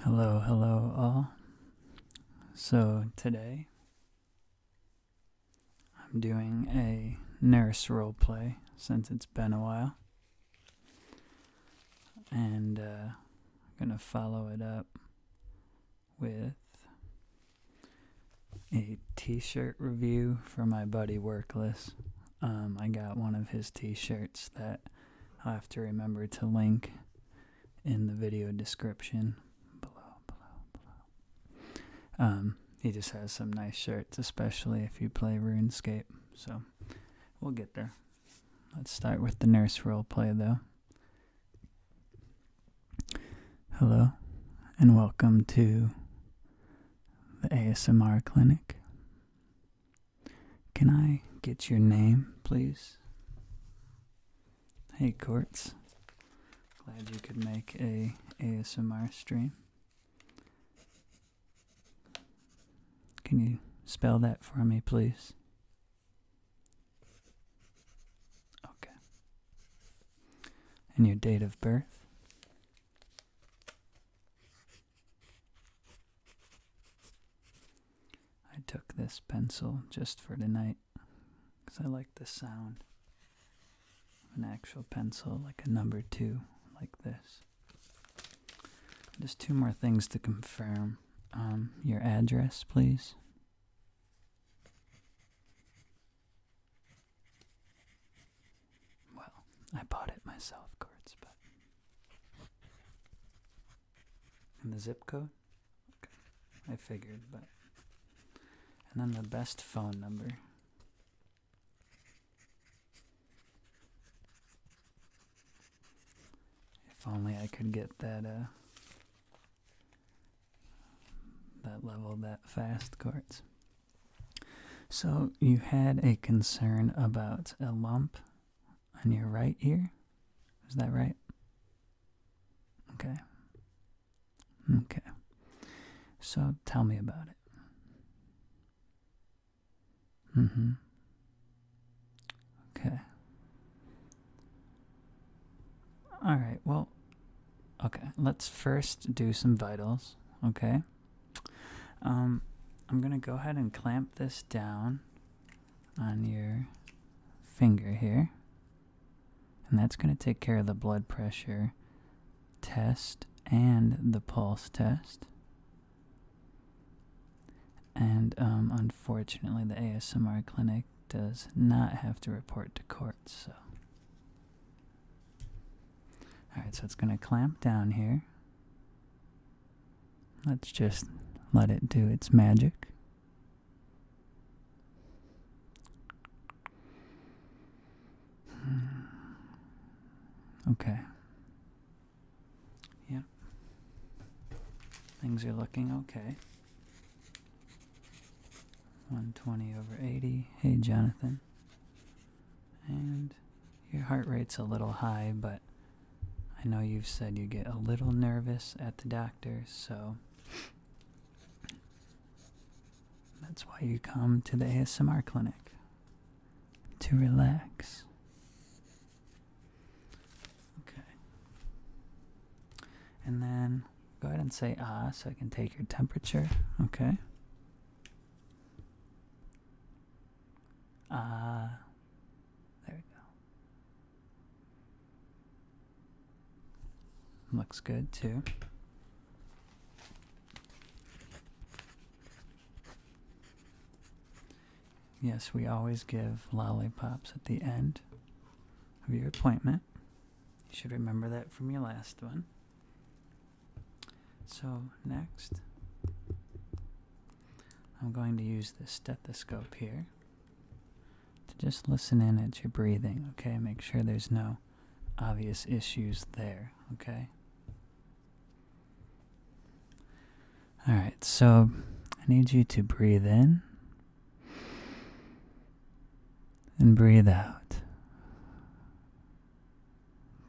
Hello, hello, all. So, today I'm doing a nurse role play since it's been a while. And I'm uh, going to follow it up with a t shirt review for my buddy Workless. Um, I got one of his t shirts that I'll have to remember to link in the video description below, below, um, he just has some nice shirts, especially if you play RuneScape. So we'll get there. Let's start with the nurse role play, though. Hello, and welcome to the ASMR clinic. Can I get your name, please? Hey, Quartz. Glad you could make a ASMR stream. Can you spell that for me, please? Okay. And your date of birth? I took this pencil just for tonight because I like the sound of an actual pencil, like a number two, like this. Just two more things to confirm. Um, your address, please. Well, I bought it myself, Kurtz, but and the zip code? I figured, but. And then the best phone number. If only I could get that, uh. That level that fast, Courts. So you had a concern about a lump on your right ear. Is that right? Okay. Okay. So tell me about it. Mm hmm. Okay. Alright, well, okay, let's first do some vitals, okay? Um, I'm gonna go ahead and clamp this down on your finger here, and that's gonna take care of the blood pressure test and the pulse test. And um, unfortunately, the ASMR clinic does not have to report to court, so. Alright, so it's going to clamp down here. Let's just let it do its magic. Okay. Yeah. Things are looking okay. 120 over 80. Hey, Jonathan. And your heart rate's a little high, but I know you've said you get a little nervous at the doctor, so that's why you come to the ASMR clinic to relax. Okay. And then go ahead and say ah so I can take your temperature. Okay. Ah. There we go. Looks good too. Yes, we always give lollipops at the end of your appointment. You should remember that from your last one. So, next, I'm going to use the stethoscope here to just listen in at your breathing, okay? Make sure there's no obvious issues there, okay? Alright, so I need you to breathe in and breathe out.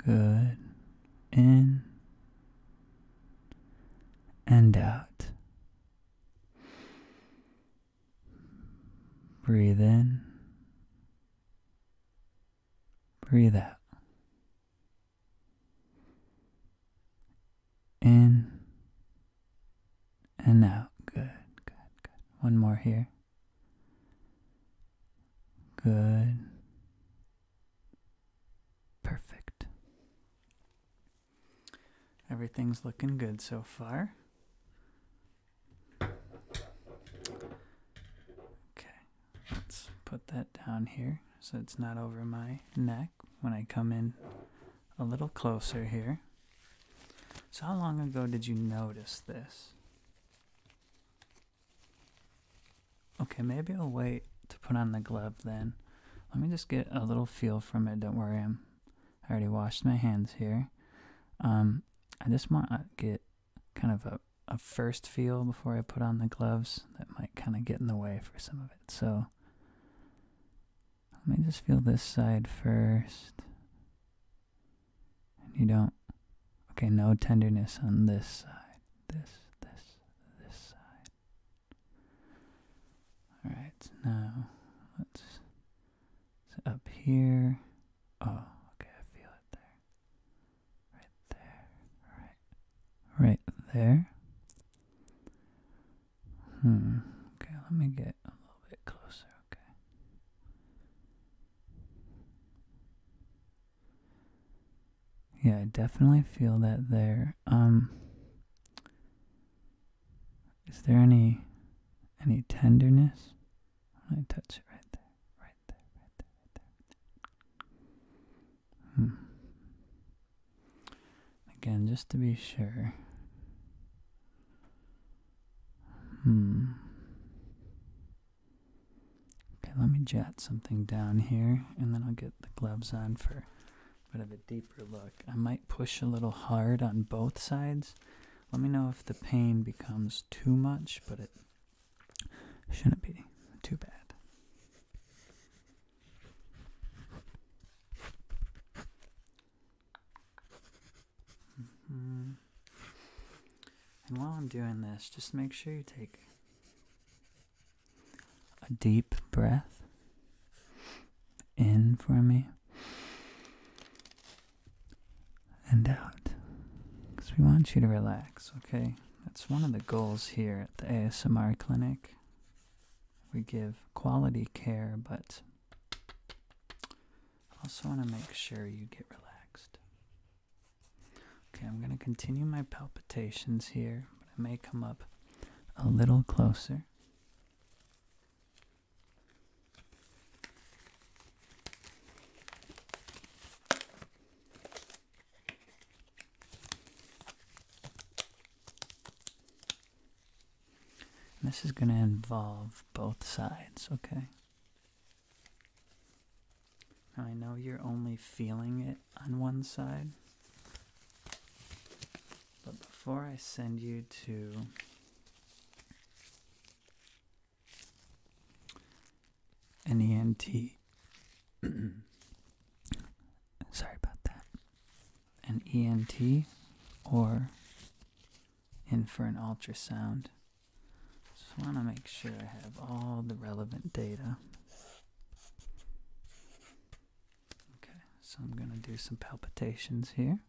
Good. In and out. Breathe in. Breathe out. In and out. Good, good, good. One more here. Good. Perfect. Everything's looking good so far. Okay, let's put that down here so it's not over my neck when I come in a little closer here. So, how long ago did you notice this? Okay, maybe I'll wait to put on the glove then. Let me just get a little feel from it. Don't worry, I'm, I already washed my hands here. Um, I just want to get kind of a, a first feel before I put on the gloves. That might kind of get in the way for some of it. So let me just feel this side first. you don't. Okay, no tenderness on this side this, this, this side. Alright, now let's so up here. Oh, okay, I feel it there. Right there. Right. Right there. Hmm. Okay, let me get a little bit closer, okay. Yeah, I definitely feel that there. Um Is there any any tenderness? I touch it right there. Right there, right there, right there. Hmm. Again, just to be sure. Hmm. Okay, let me jot something down here and then I'll get the gloves on for a bit of a deeper look. I might push a little hard on both sides. Let me know if the pain becomes too much, but it shouldn't be too bad. Mm-hmm. And while I'm doing this, just make sure you take a deep breath in for me and out. Because we want you to relax, okay? That's one of the goals here at the ASMR clinic. We give quality care, but also want to make sure you get relaxed. Okay, I'm going to continue my palpitations here, but I may come up a little closer. this is going to involve both sides, okay? I know you're only feeling it on one side, but before I send you to an ENT, sorry about that, an ENT or in for an ultrasound. Just want to make sure I have all the relevant data. Okay, so I'm going to do some palpitations here.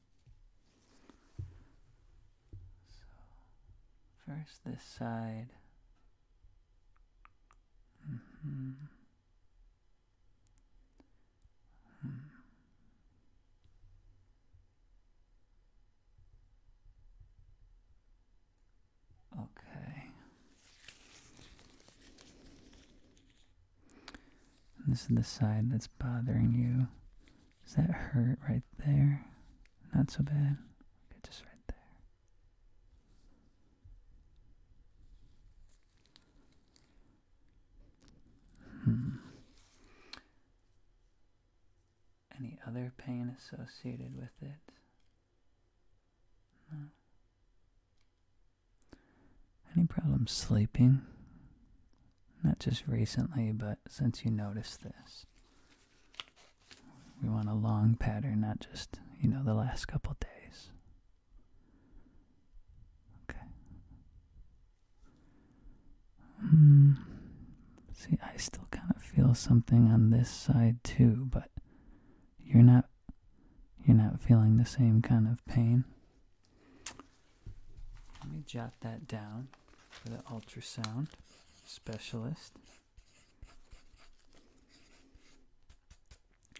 So first this side. Mm-hmm. Hmm. Okay. this is the side that's bothering you. Does that hurt right there? Not so bad. Okay, just right there. Hmm any other pain associated with it? No. Any problems sleeping? Not just recently, but since you noticed this. We want a long pattern, not just, you know, the last couple days. Okay. Mm, See, I still kind of feel something on this side too, but you're not you're not feeling the same kind of pain. Let me jot that down for the ultrasound specialist.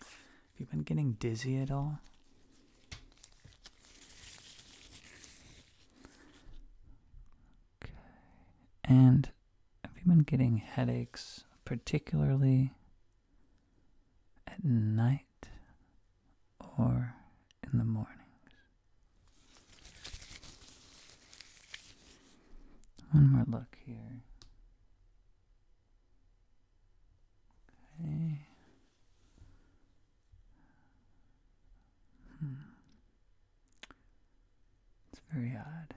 Have you been getting dizzy at all? Okay. And have you been getting headaches, particularly at night or in the mornings? One more look here. Okay. Hmm. It's very odd.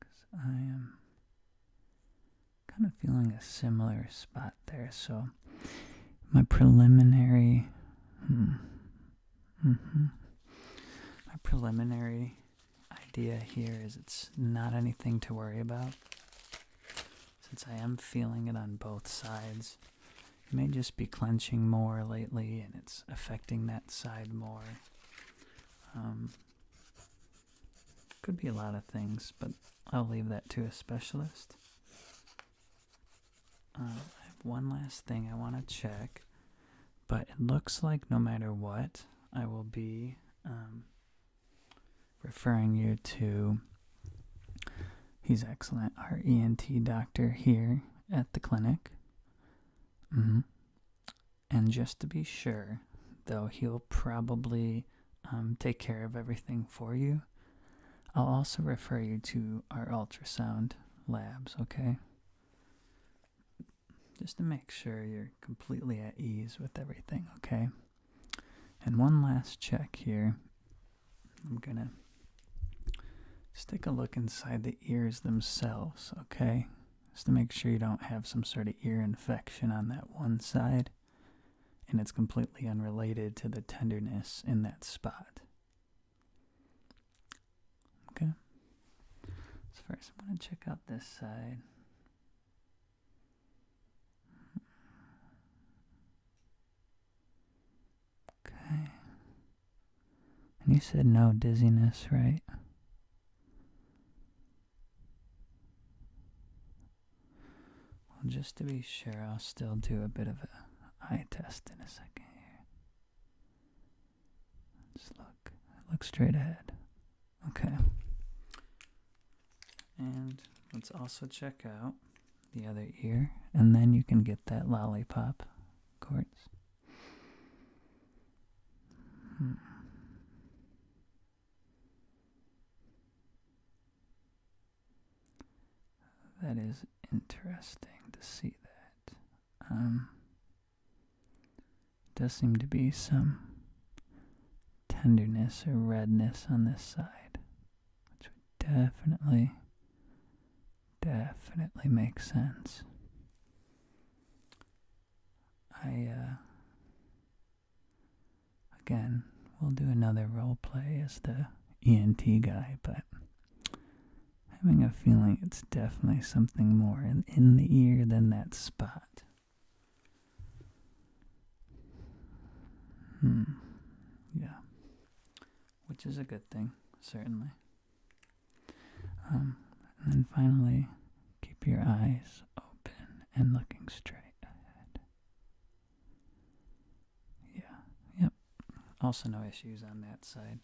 Because I am kind of feeling a similar spot there, so my preliminary. Hmm, mm-hmm. My preliminary idea here is it's not anything to worry about. Since I am feeling it on both sides, you may just be clenching more lately and it's affecting that side more. Um, could be a lot of things, but I'll leave that to a specialist. Uh, I have one last thing I want to check, but it looks like no matter what, I will be um, referring you to He's excellent. Our ENT doctor here at the clinic. Mm-hmm. And just to be sure, though, he'll probably um, take care of everything for you. I'll also refer you to our ultrasound labs, okay? Just to make sure you're completely at ease with everything, okay? And one last check here I'm gonna just take a look inside the ears themselves, okay? Just to make sure you don't have some sort of ear infection on that one side and it's completely unrelated to the tenderness in that spot. Okay? So, first, I'm gonna check out this side. Okay. And you said no dizziness, right? Well, just to be sure, I'll still do a bit of an eye test in a second here. Just look. Look straight ahead. Okay. And let's also check out the other ear, and then you can get that lollipop quartz. Hmm. That is interesting to see that. Um, does seem to be some tenderness or redness on this side which would definitely, definitely make sense. I, uh, again, we'll do another role play as the ENT guy, but having a feeling it's definitely something more in, in the ear than that spot. Hmm. Yeah which is a good thing, certainly. Um, and then finally, keep your eyes open and looking straight ahead. Yeah, yep. Also, no issues on that side.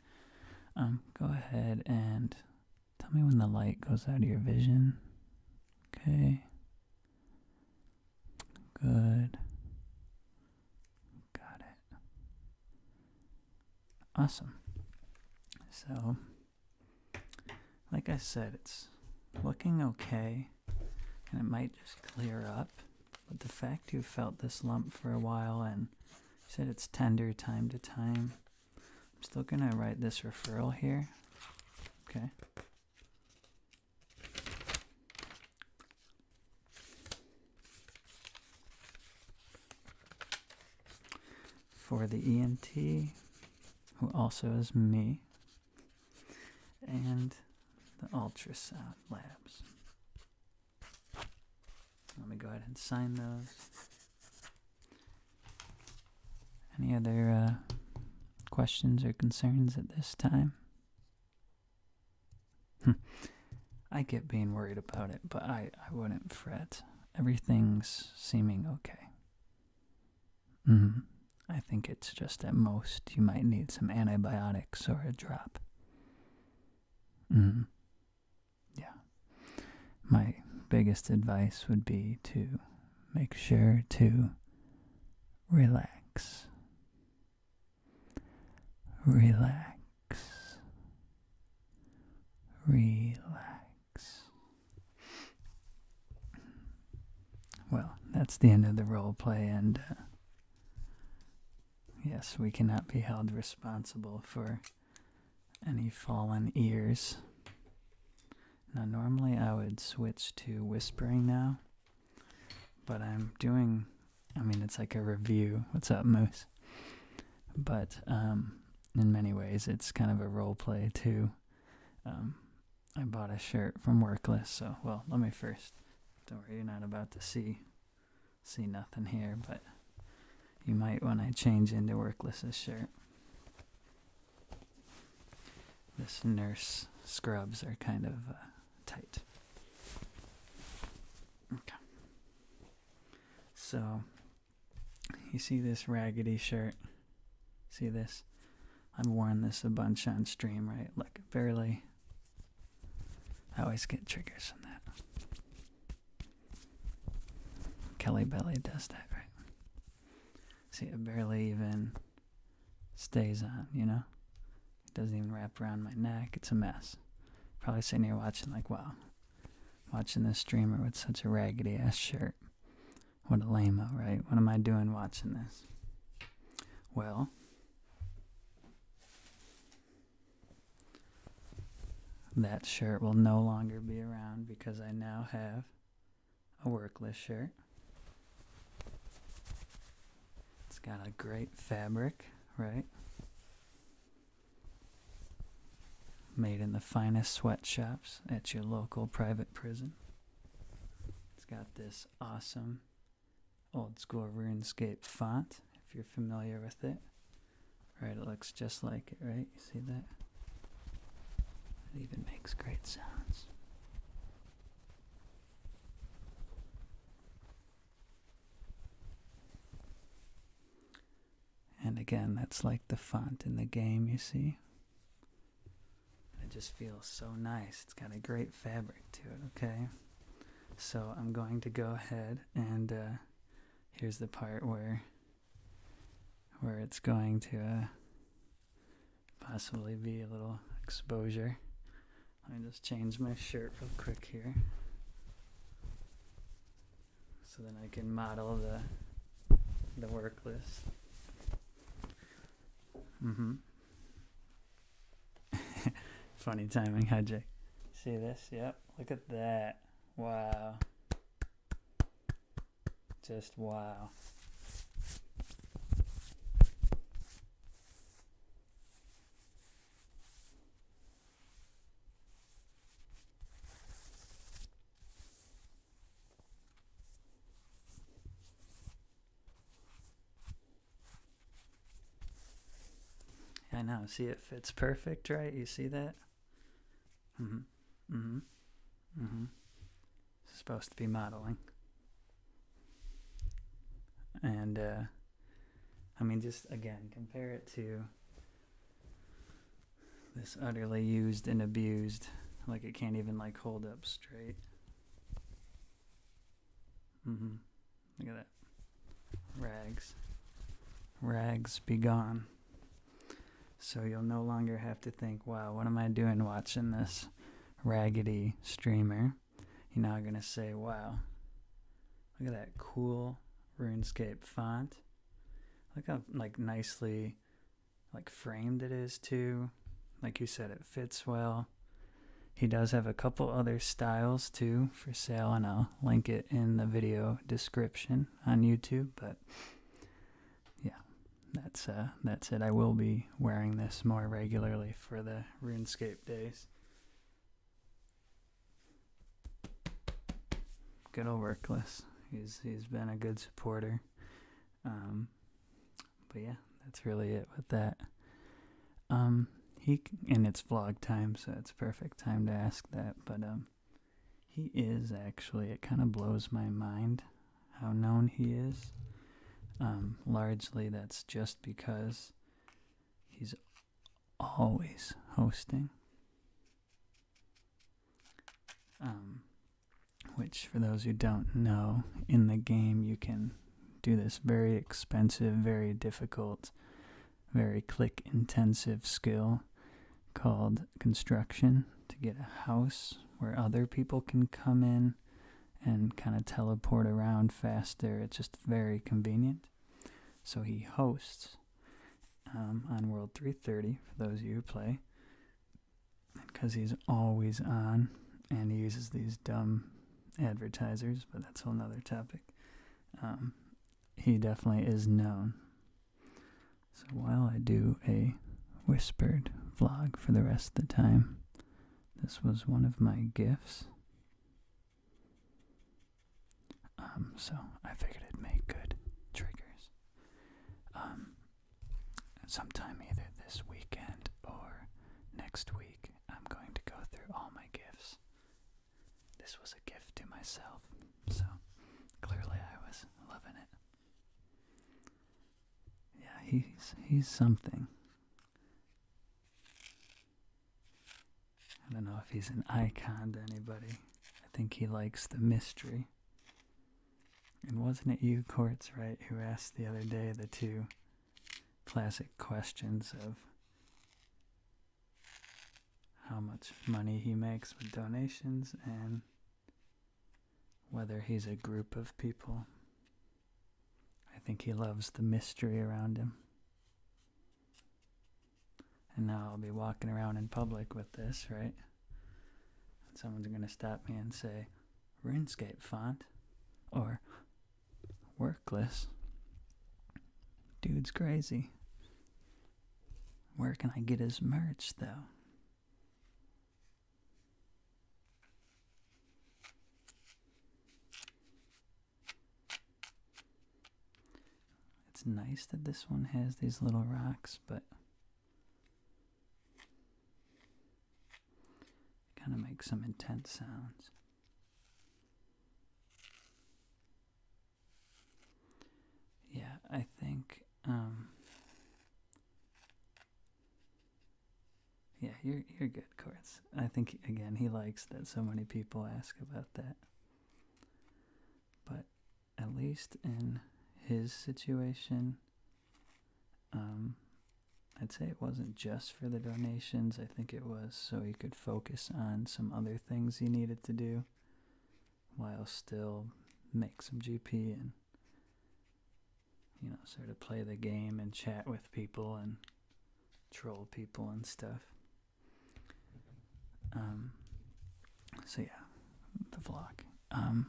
Um, go ahead and tell me when the light goes out of your vision. Okay. Good. Got it. Awesome. So, like I said, it's looking okay and it might just clear up. But the fact you felt this lump for a while and said it's tender time to time, I'm still going to write this referral here. Okay for the ENT, who also is me, and the ultrasound labs. Let me go ahead and sign those. Any other uh, questions or concerns at this time? Hmm. I get being worried about it, but I, I wouldn't fret. Everything's seeming okay. Mm-hmm. I think it's just at most you might need some antibiotics or a drop. Mm-hmm. Yeah. My biggest advice would be to make sure to relax. Relax. Relax. Well, that's the end of the role play, and uh, yes, we cannot be held responsible for any fallen ears. Now, normally I would switch to whispering now. But I'm doing, I mean, it's like a review. What's up, Moose? But um, in many ways, it's kind of a role play too. Um, I bought a shirt from Workless, so well, let me first. Don't worry, you're not about to see see nothing here, but you might when I change into Workless's shirt. This nurse scrubs are kind of. Uh, tight. Okay. So, you see this raggedy shirt? See this? I've worn this a bunch on stream, right? Look, barely. I always get triggers on that. Kelly Belly does that, right? See, I barely even stays on, you know? It doesn't even wrap around my neck. It's a mess. Probably sitting here watching, like, wow, watching this streamer with such a raggedy ass shirt. What a lameo, right? What am I doing watching this? Well, that shirt will no longer be around because I now have a workless shirt. It's got a great fabric, right? Made in the finest sweatshops at your local private prison. It's got this awesome old school RuneScape font, if you're familiar with it. Right, it looks just like it, right? You see that? It even makes great sounds. And again, that's like the font in the game, you see? It just feels so nice. It's got a great fabric to it, okay? So I'm going to go ahead and uh, here's the part where where it's going to uh, possibly be a little exposure. Let me just change my shirt real quick here. So then I can model the the work list. Mm-hmm. Funny timing, Hajj. See this? Yep. Look at that. Wow. Just wow. I know. See, it fits perfect, right? You see that? Mm-hmm. Mm-hmm. Mm-hmm supposed to be modeling. And uh, I mean, just again, compare it to this utterly used and abused, like it can't even like hold up straight. Mm-hmm. Look at that. Rags. Rags be gone. So you'll no longer have to think, wow, what am I doing watching this? raggedy streamer, you're now going to say, wow, look at that cool RuneScape font. Look how like nicely like framed it is too. Like you said, it fits well. He does have a couple other styles too for sale, and I'll link it in the video description on YouTube. But yeah, that's uh, that's it. I will be wearing this more regularly for the RuneScape days. Good old Workless. He's he's been a good supporter. Um, but yeah, that's really it with that. Um, he and it's vlog time, so it's perfect time to ask that. But um, he is actually. It kind of blows my mind how known he is. Um, largely, that's just because he's always hosting. Um, which, for those who don't know, in the game you can do this very expensive, very difficult, very click intensive skill called construction to get a house where other people can come in and kind of teleport around faster. It's just very convenient. So he hosts um, on World 330 for those you who play, because he's always on and he uses these dumb advertisers, but that's another topic. Um, he definitely is known. So while I do a whispered vlog for the rest of the time. This was one of my gifts. Um, so I figured it'd make good triggers. Um, sometime either this weekend or next week, I'm going to go through all my gifts. This was a gift to myself, so clearly I was loving it. Yeah, he's he's something. I don't know if he's an icon to anybody. I think he likes the mystery. And wasn't it you, Courts, right, who asked the other day the two classic questions of how much money he makes with donations and whether he's a group of people. I think he loves the mystery around him. And now I'll be walking around in public with this, right? someone's going to stop me and say, RuneScape font or workless. Dude's crazy. Where can I get his merch, though? It's nice that this one has these little rocks, but it kind of makes some intense sounds. Yeah, I think um, yeah, you're you're good, Quartz. I think again he likes that so many people ask about that. But at least in his situation, um, I'd say it wasn't just for the donations. I think it was so he could focus on some other things he needed to do, while still make some GP and you know, sort of play the game and chat with people and troll people and stuff. Um, so yeah, the vlog. Um,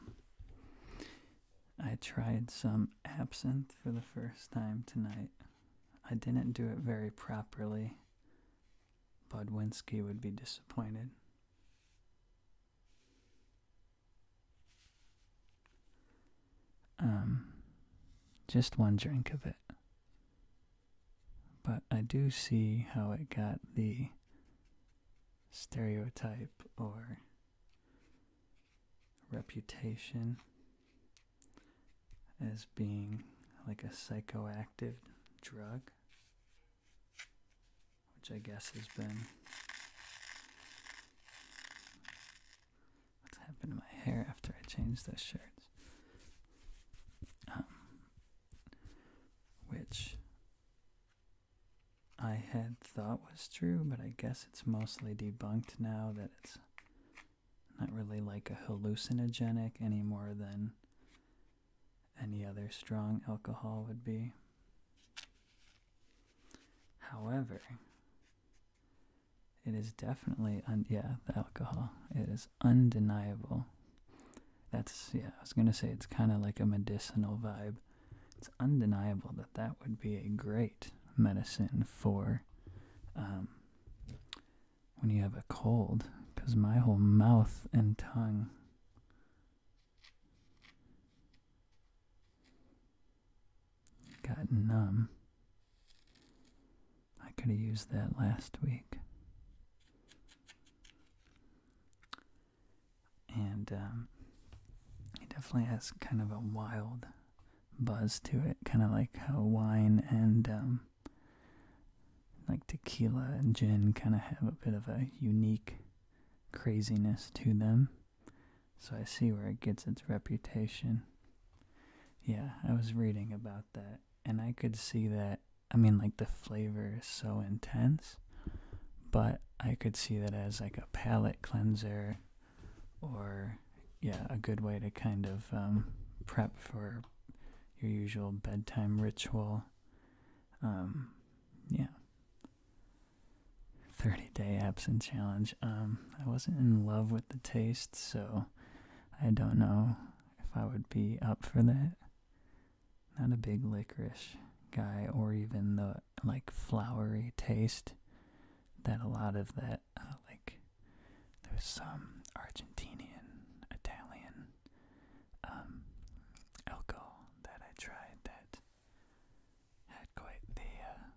I tried some absinthe for the first time tonight. I didn't do it very properly. Budwinski would be disappointed. Um, just one drink of it. But I do see how it got the stereotype or reputation as being like a psychoactive drug which I guess has been. What's happened to my hair after I changed those shirts? Um, which I had thought was true, but I guess it's mostly debunked now that it's not really like a hallucinogenic any more than any other strong alcohol would be. However, it is definitely, yeah, the alcohol. It is undeniable. That's, yeah, I was going to say it's kind of like a medicinal vibe. It's undeniable that that would be a great medicine for um, when you have a cold, because my whole mouth and tongue Got numb. I could have used that last week. And um, it definitely has kind of a wild buzz to it, kind of like how wine and um, like tequila and gin kind of have a bit of a unique craziness to them. So I see where it gets its reputation. Yeah, I was reading about that and I could see that. I mean, like the flavor is so intense, but I could see that as like a palate cleanser or, yeah, a good way to kind of um, prep for your usual bedtime ritual. Um, yeah, 30 day absent challenge. Um, I wasn't in love with the taste, so I don't know if I would be up for that. Not a big licorice guy, or even the like flowery taste that a lot of that, uh, like, there's some Argentinian, Italian um, alcohol that I tried that had quite the uh,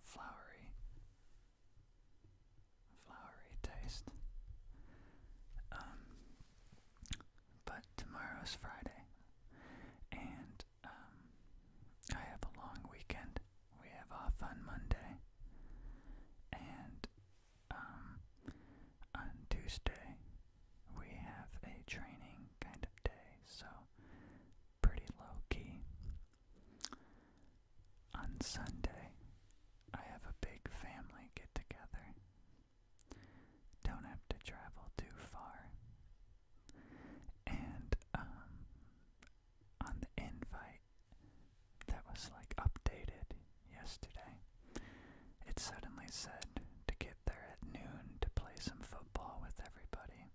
flowery, flowery taste. Um, but tomorrow's Friday, and um, I have a long weekend. We have off on Monday, and um, on Tuesday we have a training kind of day, so pretty low key. On Sunday, I have a big family get together. Don't have to travel too far. And um, on the invite that was like updated yesterday, it suddenly said to get there at noon to play some football with everybody.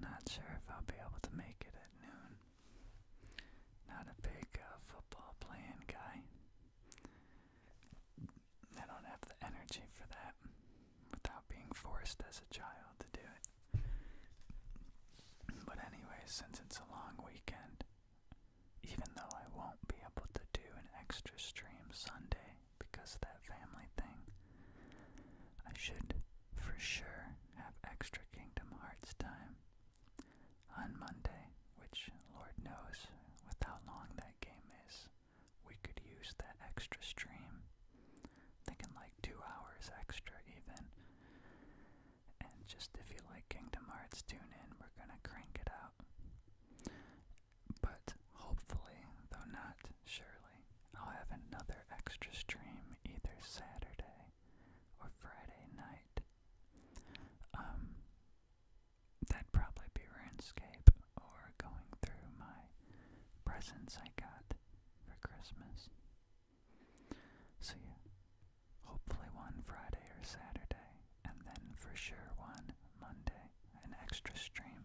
Not sure if I'll be able to make it at noon. Not a big uh, football playing guy. I don't have the energy for that without being forced as a child to do it. But, anyway, since it's a long weekend, even though I won't be able to do an extra stream Sunday because of that family thing, I should for sure have extra Kingdom Hearts time on Monday, which Lord knows without long that game is. We could use that extra stream. Thinking like two hours extra, even. And just if you like Kingdom Hearts, tune in. We're gonna crank it out. But hopefully, though not surely, I'll have another extra stream either Saturday or Friday night. Um, that'd probably be RuneScape or going through my presents I got for Christmas. So yeah, hopefully one Friday or Saturday and then for sure one Monday, an extra stream.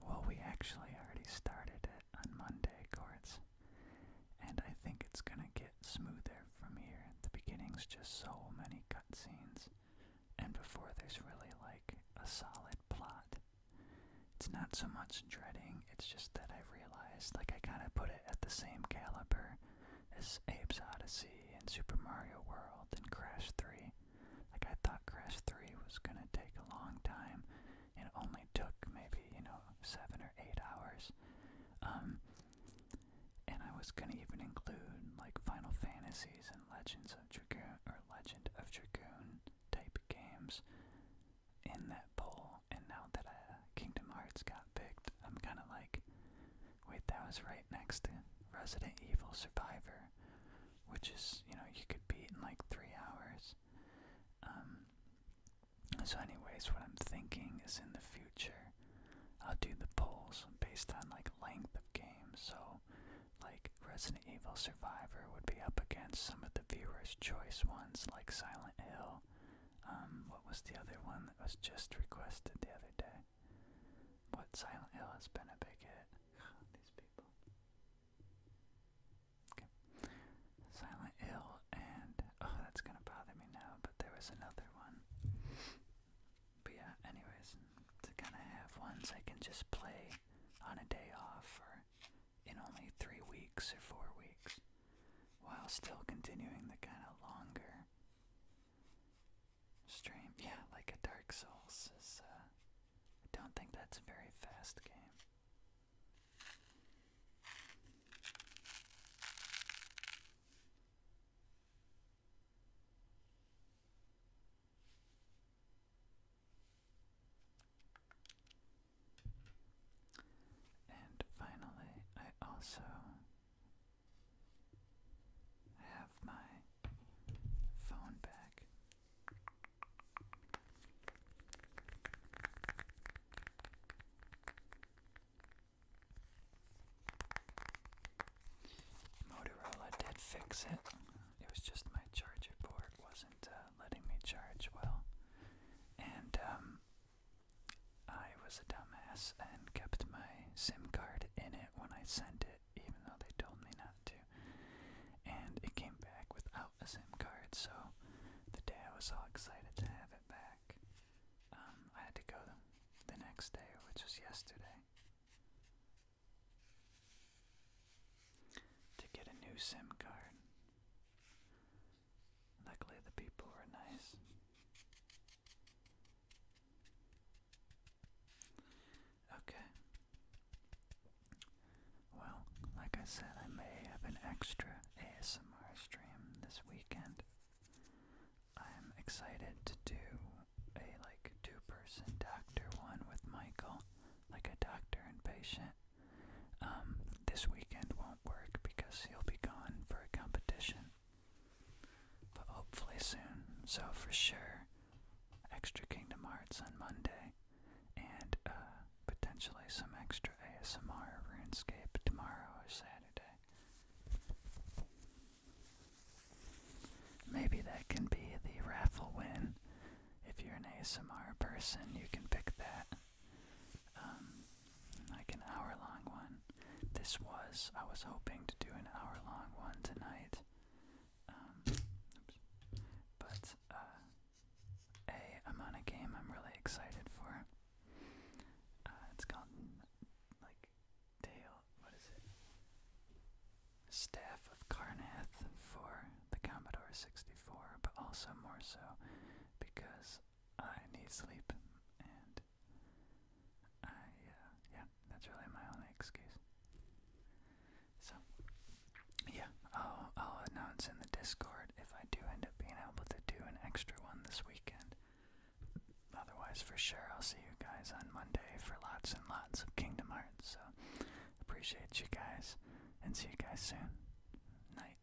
Well, we actually already started it on Monday, Courts, and I think it's gonna get smoother from here. The beginning's just so many cutscenes, and before there's really like a solid plot. It's not so much dreading, it's just that I realized, like, I kind of put it at the same caliber is Abe's Odyssey and Super Mario World and Crash 3. Like, I thought Crash 3 was gonna take a long time, it only took maybe, you know, seven or eight hours. Um, and I was gonna even include, like, Final Fantasies and Legends of Dragoon, or Legend of Dragoon type games in that poll, and now that uh, Kingdom Hearts got picked, I'm kind of like, Wait, that was right next to Resident Evil Survivor, which is, you know, you could beat in like three hours. Um, so, anyways, what I'm thinking is in the future, I'll do the polls based on like length of games. So, like Resident Evil Survivor would be up against some of the viewers' choice ones like Silent Hill. Um, what was the other one that was just requested the other day? But Silent Hill has been a big hit. These people. Okay. Silent Hill and oh that's gonna bother me now, but there was another one. But yeah, anyways, to kinda have ones I can just play on a day off or in only three weeks or four weeks while still continuing the kinda longer stream. Yeah, like a Dark Souls uh, I don't think that's a very fast game. And finally, I also I have my phone back. Motorola did fix it. It was just my charger port wasn't uh, letting me charge well. And um, I was a dumbass and kept my SIM card in it when I sent it, even though they told me not to. And it came back without a SIM card, so the day I was all excited to have it back, um, I had to go the next day, which was yesterday, to get a new SIM card. Luckily, the people were nice. Okay. Well, like I said, I may have an extra ASMR stream this weekend. I'm excited to do a like two person doctor one with Michael, like a doctor and patient. Um, this weekend won't work because he'll be gone for a competition but hopefully soon. So for sure, extra Kingdom Hearts on Monday, and uh, potentially some extra ASMR RuneScape tomorrow or Saturday. Maybe that can be the raffle win. If you're an ASMR person, you can pick that. Um, like an hour long one. This was, I was hoping to do an hour long one tonight. oops. Um, but, uh, A, I'm on a game I'm really excited for. Uh, it's called, like, Tale, what is it? Staff of Carnath for the Commodore 64, but also more so because I need sleep and I, uh, yeah, that's really my only excuse. So, yeah, I'll, I'll announce in the Discord if I do end up being able to do an extra one this weekend. Otherwise, for sure, I'll see you guys on Monday for lots and lots of Kingdom Hearts. So, appreciate you guys, and see you guys soon. Night.